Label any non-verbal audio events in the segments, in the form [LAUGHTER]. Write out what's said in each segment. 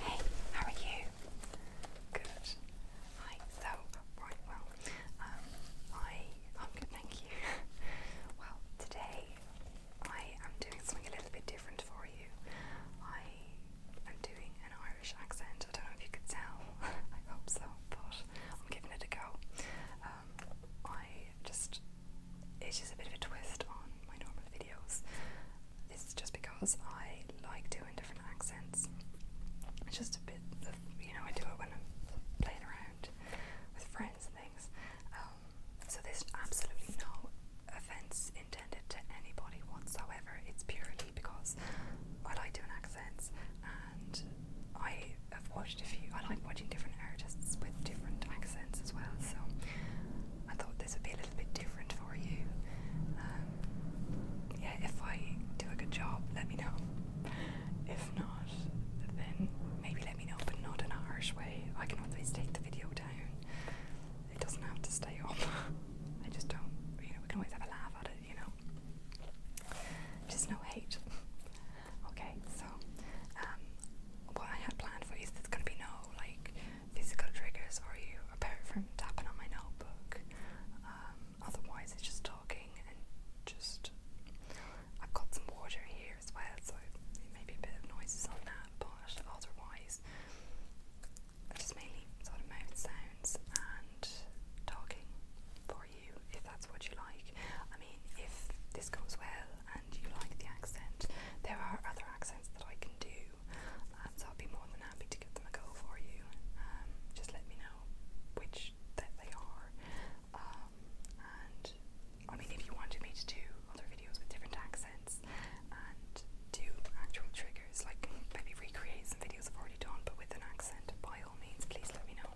Hey, how are you? Good. Hi. So, right, well, um, I, I'm good, thank you. [LAUGHS] well, today I am doing something a little bit different for you. I am doing an Irish accent. I don't know if you could tell. [LAUGHS] I hope so, but I'm giving it a go. Um, I just, it's just a bit of a twist on my normal videos. This is just because I like doing different accents. It's just a bit of, you know, I do it when I'm playing around with friends and things. Um, so there's absolutely no offense intended to anybody whatsoever. It's purely because I like doing accents and I have watched a few, I like watching different artists with different accents as well. So I thought this would be a little bit different for you. Um, yeah, if I do a good job, let me know. If not, then maybe let me know, but not in a harsh way. I can always take the video down. It doesn't have to stay on. [LAUGHS] I just don't, you know, we can always have a laugh at it, you know. Just no hate. okay, so um, what I had planned for you is there's going to be no like physical triggers for you apart from tapping on my notebook. Um, otherwise, it's just talking and just. I've got some water here as well, so maybe a bit of noises on that, but otherwise, just mainly sort of mouth sounds and talking for you if that's what you like. I mean, if this goes well and you like the accent, there are other accents that I can do um, so I'll be more than happy to give them a go for you. Um, just let me know which that they are, um, and I mean if you wanted me to do other videos with different accents and do actual triggers, like maybe recreate some videos I've already done but with an accent, by all means, please let me know.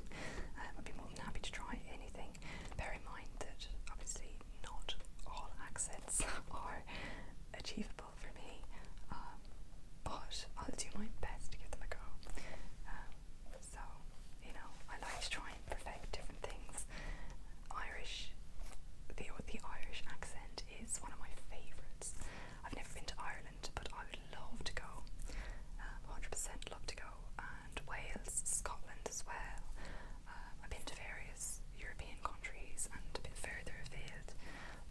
I'd be more than happy to try anything. Bear in mind that obviously not all accents [LAUGHS] are achievable for me, um, but I'll do my best to give them a go. Um, so, you know, I like to try and perfect different things. Irish, the, the Irish accent is one of my favourites. I've never been to Ireland, but I would love to go. 100% um, love to go. And Wales, Scotland as well. Um, I've been to various European countries and a bit further afield,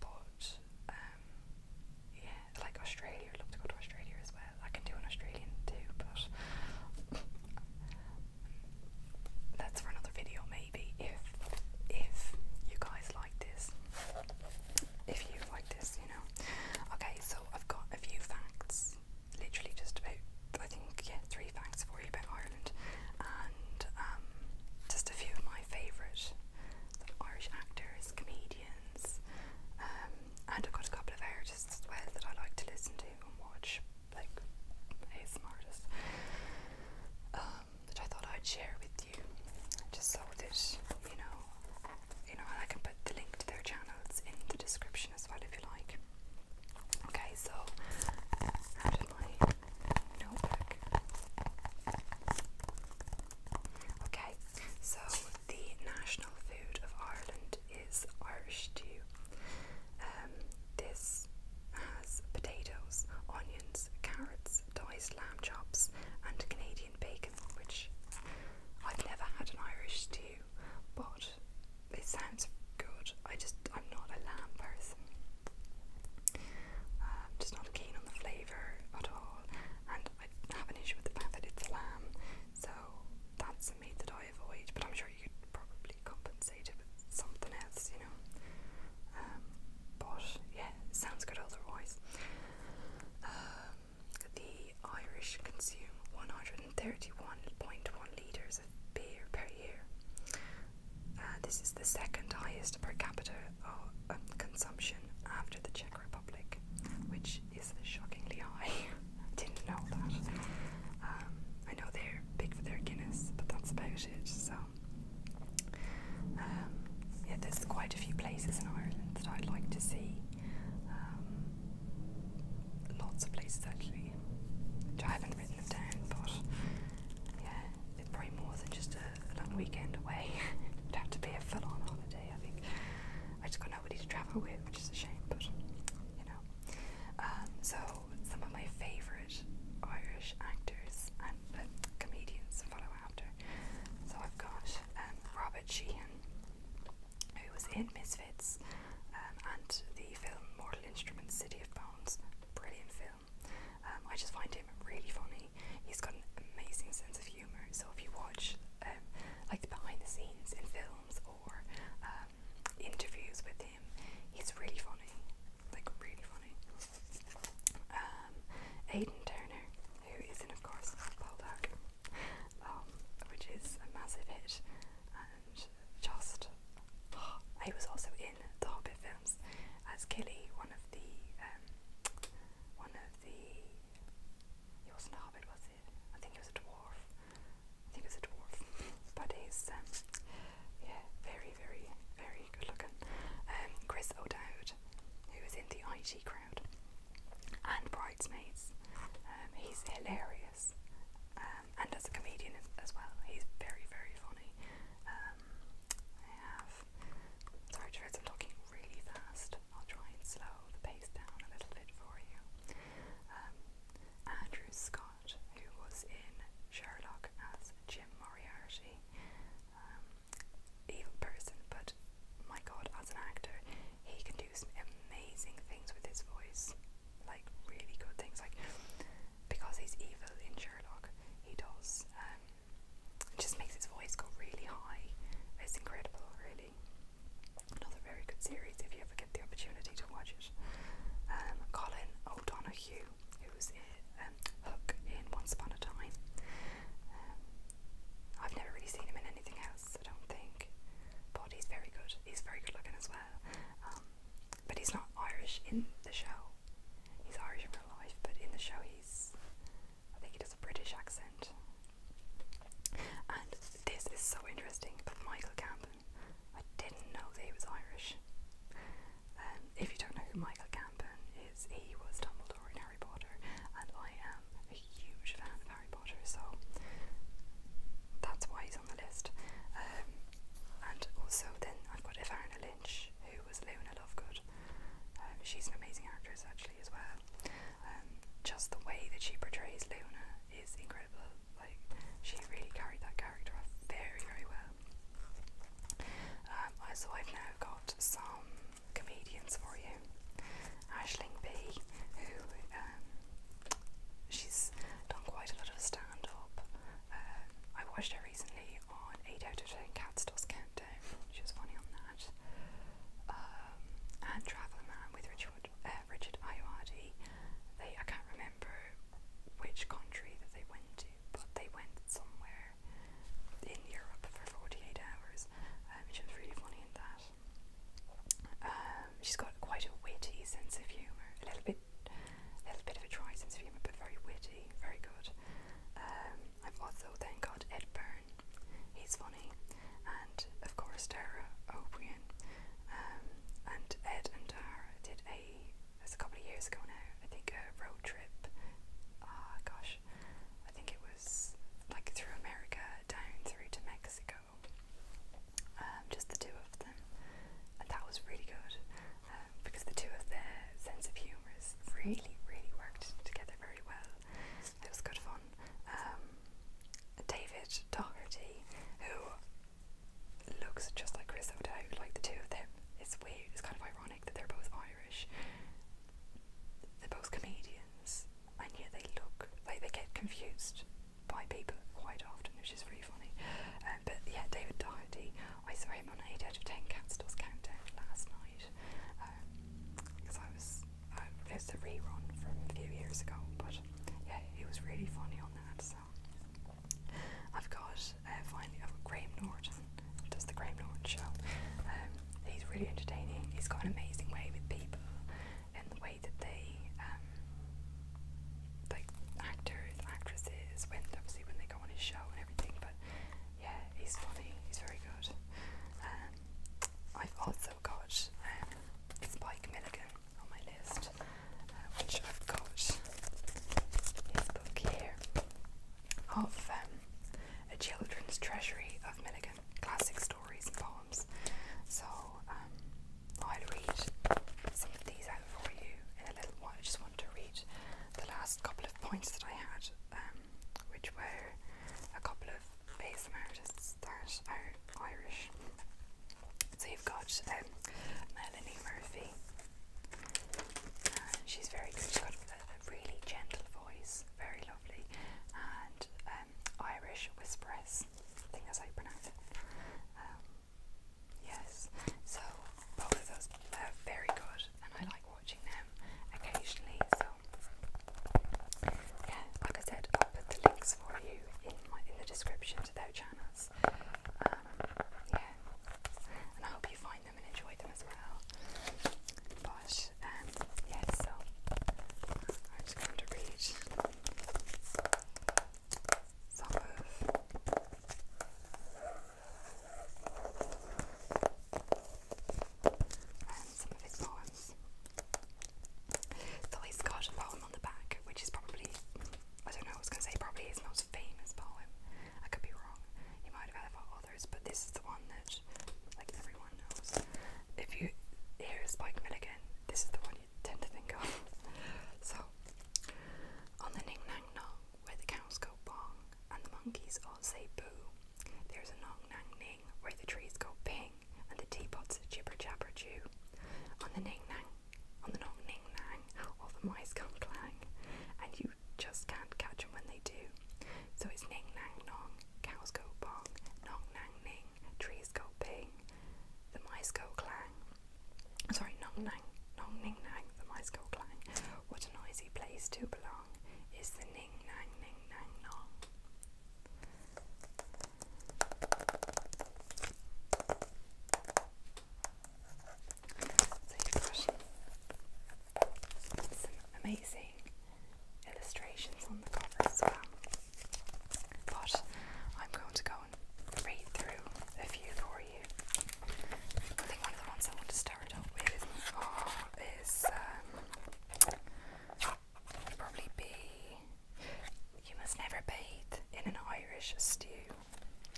but um, yeah, like Australia. I'd love to go to Australia as well. I can do an Australian too, but that's for another video maybe. If if you guys like this, if you like this, you know. Okay, so I've got a few facts literally just about I think yeah three facts for you about Ireland, and um, just a few of my favourite Irish actors, comedians, um, and I've got a couple of artists as well that I like to listen to and watch, like ASMR artists, um, that I thought I'd share with you, just so that you know, you know, and I can put the link to their channels in the description as well if you like. Okay, so notebook. Okay, so the national food of Ireland is Irish stew. Um, this has potatoes, onions, carrots, diced lamb chops, and Canadian bacon, which I've never had an Irish stew, but it sounds good. I just I'm not a lamb person. I'm um, just not keen on the flavour at all, and I have an issue with the fact that it's lamb. So that's a meat that I avoid. But I'm sure you could probably compensate it with something else, you know. Um, but yeah, sounds good otherwise. Um, the Irish consume 130 Thirty-one point one litres of beer per year. Uh, this is the second highest per capita uh, um, consumption after the Czech Republic, which is shockingly high. [LAUGHS] I didn't know that. Um, I know they're big for their Guinness, but that's about it. So, um, yeah, there's quite a few places in Ireland that I'd like to see lots of places actually, I haven't written them down, but yeah, it's probably more than just a, long weekend away. [LAUGHS] It'd have to be a full on holiday, I think. I just got nobody to travel with, which is a shame, but you know. Um, so, some of my favourite Irish actors and comedians follow after. So, I've got um, Robert Sheehan who was in Misfits um, and the film Mortal Instruments City of Bones. Brilliant film. Um, I just find him really funny. He's got an amazing sense of humour. So if you watch um, like the behind the scenes in films or um, interviews with him, he's really funny. Like really funny. Um, Turner, who is of course Baldock, which is a massive hit and just oh, [GASPS] was also in the Hobbit films as Killy, one of the um, one of the he wasn't a hobbit, was it? I think he was a dwarf. I think he was a dwarf, but he's um, yeah, very, very, very good looking. Um, Chris O'Dowd, who was in the IT crowd, and Bridesmaids. Um, he's hilarious and as a comedian as well. He's very, very funny. Um, sorry, I'm talking really fast. I'll try and slow the pace down a little bit for you. Um, Andrew Scott, who was in Sherlock as Jim Moriarty, um, evil person, but my god, as an actor, he can do some amazing things with his voice like really good things. Like because he's evil in Sherlock, he does. Um, it just makes his voice go really high. It's incredible, really. Another very good series if you ever get the opportunity to watch it. Um, Colin O'Donoghue, who was in um, Hook in Once Upon a Time. Um, I've never really seen him in anything else, I don't think. But he's very good. He's very good looking as well. Um, but he's not Irish in the show. He's Irish in real life, but in the show he's, I think he does a British accent. And this is so interesting, but Michael Gambon, I didn't know that he was Irish. Um, if you don't know who Michael Gambon is, he was Dumbledore in Harry Potter, and I am a huge fan of Harry Potter, so that's why he's on the list. Um, and also then I've got Evarina Lynch, who was Luna Lovegood. Um, she's an amazing actress actually as well. Um, just the way that she portrays Luna is incredible. Like she really carried that character off very, very well. so I've now got some comedians for you. Ashling B, who she's done quite a lot of stand up. Uh, I watched her recently on 8 out of 10 Cats Dust Countdown. She was funny on that. Um, and Travel Man with Richard, uh, Richard Ayoade. They I can't remember which country that they went to, but they went somewhere in Europe for 48 hours. Um, she was really funny in that. Um, she's got quite a witty sense of humour, a little bit, a little bit of a dry sense of humour, but very witty, very good. Um, I've also then got Ed Burn. he's funny, and of course Tara O'Brien. Um, and Ed and Tara did a, it's a couple of years ago now, I think a road trip. Ah, gosh, I think it was like through America, down through to Mexico, um, just the two of them, that was really good um, because the two of their sense of humour really, really worked together very well. It was good fun. Um, David Doherty, who looks just like Chris O'Dowd, like the two of them. It's weird. It's kind of ironic that they're both Irish. They're both comedians, and yet they look like they get confused by people quite often, which is really funny. Um, but yeah, David Doherty, I saw him on 8 out of 10 Cat Stores Countdown last night because um, I was, uh, it was a rerun from a few years ago, but yeah, he was really funny on that. So I've got uh, finally, I've got Graham Norton, does the Graham Norton show. Um, he's really entertaining, he's got an amazing way with people and the way that they, um, like actors, actresses, when obviously when they go on a show and everything. But yeah, he's funny. He's very good. Um, I've also got um, Spike Milligan on my list, uh, which I've got his book here of um, A Children's Treasury of Milligan classic stories and poems. So um, I'll read some of these out for you in a little while. I just want to read the last couple of points that I had, um, which were a couple of ASM artists that are Irish. So you've got um, Melanie Murphy. Uh, she's very good. She's got a, a really gentle voice, very lovely, and uh, um, Irish whisperers. I think that's how you pronounce it. Um, yes, so both of those are very good, and I like watching them occasionally. So yeah, like I said, I'll put the links for you in my, in the description to their channels. Um, yeah, and I hope you find them and enjoy them as well. But um, yeah, so I'm just going to read some of his poems. So he's got a poem on the back, which is probably, I don't know, I was going to say probably his most famous poem. I could be wrong. He might have had others, but this is the one that like everyone if you hear Spike Milligan, this is the one you tend to think of. [LAUGHS] so, on the Ning Nang Nong, where the cows go bong and the monkeys all say boo, there's a Nong Nang Ning where the trees go ping and the teapots jibber jabber chew. On the Ning Nang, on the Nong Ning Nang, all the mice come clang, and you just can't catch catch them when they do. So it's Ning Nang Nong, cows go bong, Nong Nang Ning, trees go ping, the mice go clang. Sorry, nong nang, nong ning nang, the mice go clang. What a noisy place to belong is the ning nang ning nang amazing illustrations on the cover as well. But I'm going to go and read through a few for you. I think one of the ones I want to start with is, um, probably be You Must Never Bathe in an Irish Stew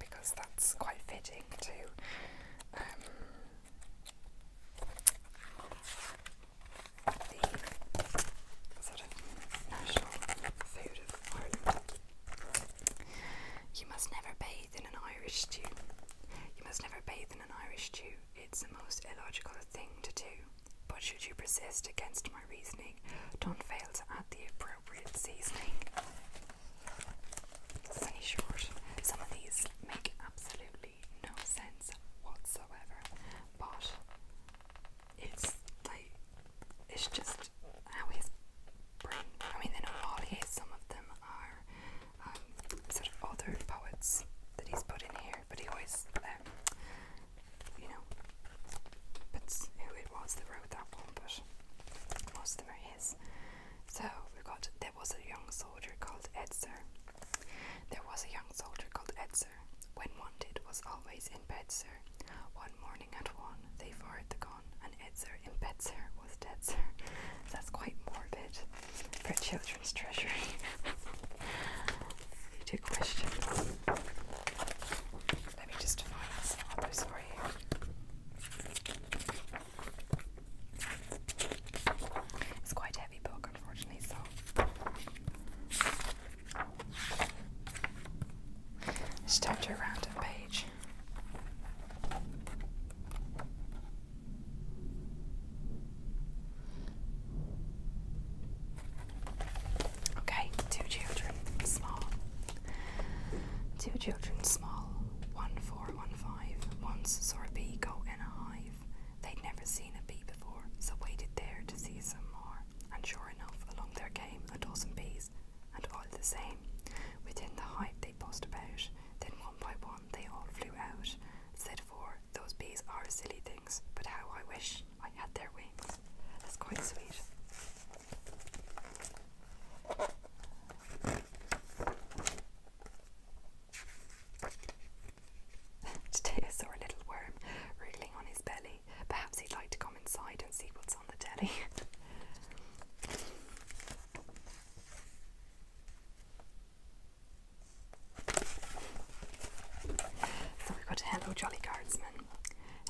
because that's quite fitting too. Um, you must never bathe in an Irish stew. You must never bathe in an Irish stew. It's the most illogical thing to do. But should you persist against my reasoning, don't fail to add the appropriate seasoning. Sunny short. Some of these make absolute no sense whatsoever. But it's like it's just how his brain. I mean, they know Some of them are um, sort of other poets that he's put in here, but he always, um, you know, puts who it was that wrote that one. But most of them are his. So we've got there was a young soldier called Edser there was a young soldier called Edser. When wanted, was always in Bedser. One morning at one, they fired the gun, and Edser in Bedser was dead, sir. That's quite morbid for children's treasury. Two [LAUGHS] questions. Let me just find some other story here. It's quite heavy book, to a random page. Okay, two children, small. Two children, small. One four, one five. Once saw a bee go in a hive. They'd never seen a bee before, so waited there to see some more. And sure enough, along there came a dozen bees, and all the same. Within the hive they buzzed about, then one by one they all flew out. Said four, those bees are silly things, but how I wish I had their wings. That's quite sweet. [LAUGHS] Today I saw a little worm wriggling on his belly. Perhaps he'd like to come inside and see what's on the telly. [LAUGHS] so we've got Hello Jolly Guardsman.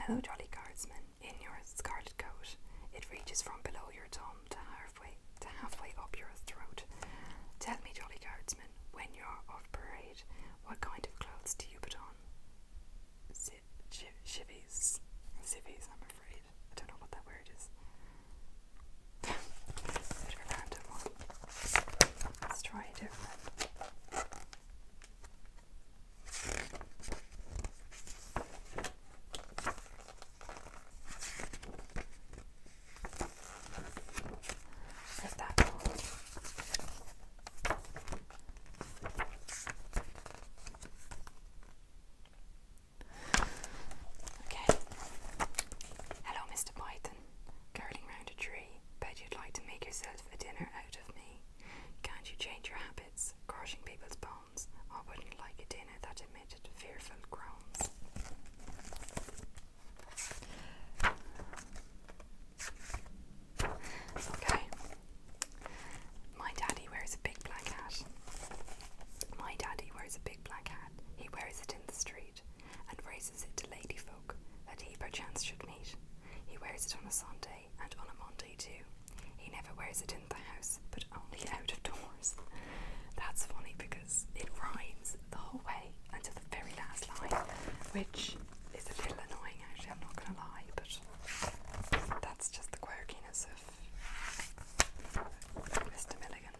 Hello Jolly Guardsman, in your scarlet coat. It reaches from below your tongue to halfway to halfway up your throat. Tell me, Jolly Guardsman, when you're off parade, what kind of clothes do you put on? Ziv Chivies. Zivies, I'm afraid. I don't know what that word is. [LAUGHS] Let's try different. Okay. Hello, Mr. Python. Curling round a tree. But you'd like to make yourself a dinner out of me. Can't you change your habits? Crushing people's bones. I wouldn't like a dinner that emitted fearful groans. Okay. My daddy wears a big black hat. My daddy wears a big black hat. He wears it in the street and raises it to lady folk that he perchance should meet. He wears it on a Sunday and on a Monday too. He never wears it in the house, but only out of doors. [LAUGHS] That's funny because it rhymes the whole way until the very last line, which is a little annoying actually, I'm not going to lie, but that's just the quirkiness of Mr. Milligan.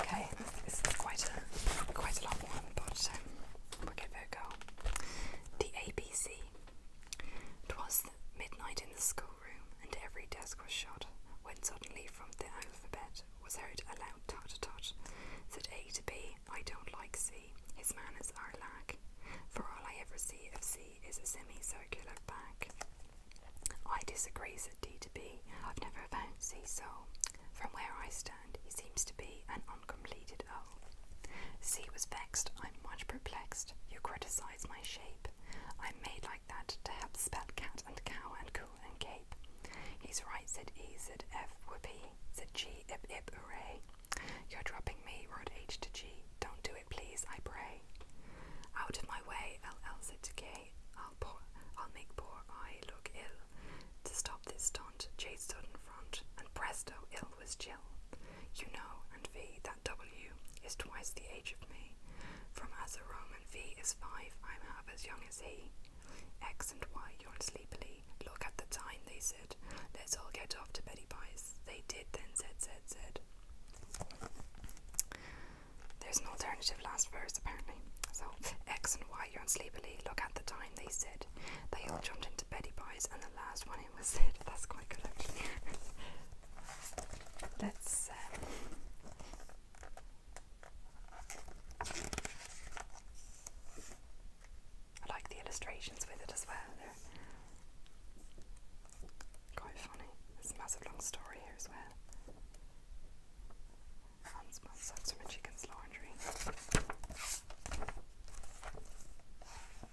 Okay, this is quite a quite a long one, but um, we'll give it a go. The ABC it was midnight in the schoolroom, and every desk was shut, when suddenly from the alphabet was heard a loud tut-tut. Said A to B, I don't like C, his manners are lack. For all I ever see of C is a semicircular back. I disagree, said D to B, I've never found C so. From where I stand, he seems to be an uncomplete pleaded C was vexed. I'm much perplexed. You criticize my shape. I'm made like that to help spell cat and cow and cool and cape. He's right, said E, said F, whoopee, said G, ip, ip, hooray. You're dropping me, wrote H to G. Don't do it, please, I pray. Out of my way, LL said to K. I'll, pour, I'll make poor I look ill. To stop this stunt, J stood in front, and presto, ill was Jill. You know, and V, that W, is twice the age of me. From as a Roman V is five, I'm half as young as he. X and Y yawned sleepily. Look at the time, they said. Let's all get off to Betty Pie's." They did, then said, said, said. There's an alternative last verse, apparently. So, X and Y yawned sleepily. Look at the time, they said. They all jumped into Betty Pie's, and the last one that's quite good actually. [LAUGHS] Let's. Uh, I like the illustrations with it as well. quite funny. There's a massive long story here as well. Hans Mum sucks from chicken's laundry.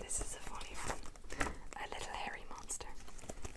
This is a funny one. A little hairy monster.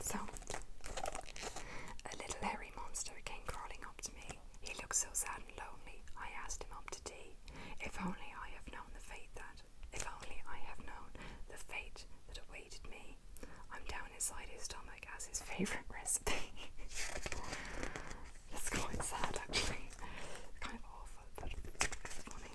So, a little hairy monster came crawling up to me. He looked so sad and lonely. I asked him up to tea. If only I have known the fate that, if only I have known the fate that awaited me. I'm down inside his stomach as his favourite recipe. That's [LAUGHS] quite sad, actually. kind of awful, but it's funny.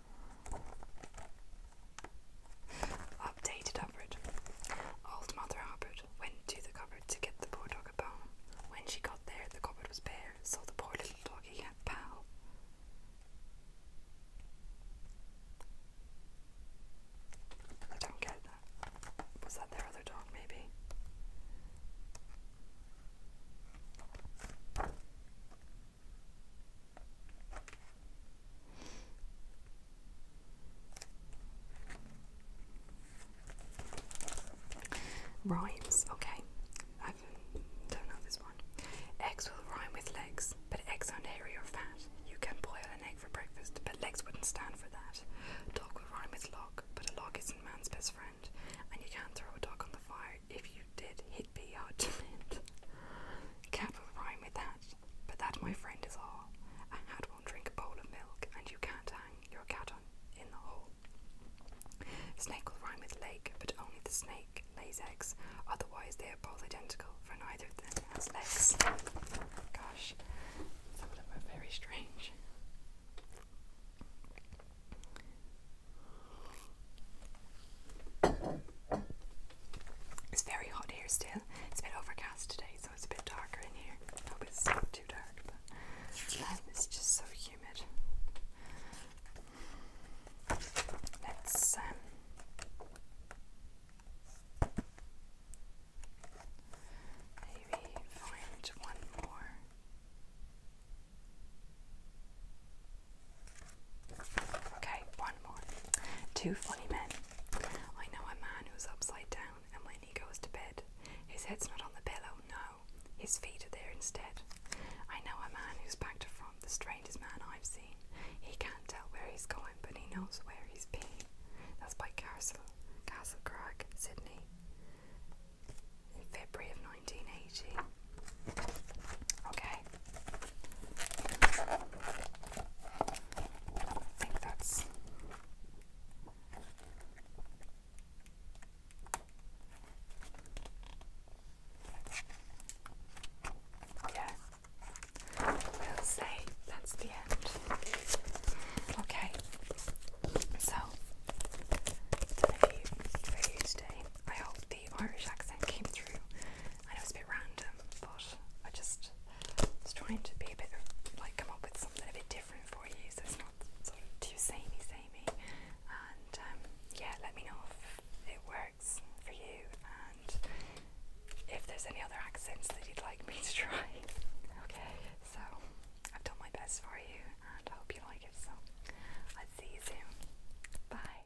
Updated Hubbard. Old Mother Hubbard went to the cupboard to get the poor dog a bone. When she got there, the cupboard was bare, so the poor little doggy had pal. I don't get that. Was that their other dog, maybe? Rhymes, okay. I don't know this one. Eggs will rhyme with legs, but eggs aren't hairy or fat. You can boil an egg for breakfast, but legs wouldn't stand for that. Dog will rhyme with log, but a log isn't man's best friend, and you can't throw a dog on the fire. If you did, it would be hard to mend. Cab will rhyme with that, but that, my friend, is all. A cat won't drink a bowl of milk, and you can't hang your cat on in the hole. Snake will rhyme with lake, but only the snake lays eggs. Otherwise, they are both identical, for neither of them has legs. Gosh, some of them are very strange. It's very hot here still. It's a bit overcast today, so it's a bit darker in here. I hope it's not too dark, but it's just so humid. Let's um, maybe find one more. Okay, one more. Two funny men. I know a man who's upside down, and when he goes to bed, his head's not on the pillow, no. His feet are there instead. I know a man who's back to front, the strangest man I've seen. He can't tell where he's going, but he knows where he's been. That's by Castle, Castle Crag, Sydney, in February of 1980. Okay. I think that's. Yeah. We'll say that's the end. Okay. So, thank for you today. I hope the Irish accent came through I know it's a bit random, but I just was trying to be a bit like come up with something a bit different for you, so it's not too samey, samey. And um, yeah, let me know if it works for you and if there's any other accents that you'd like me to try. [LAUGHS] Okay, so I've done my best for you and I hope you like it. So I'll see you soon. Bye.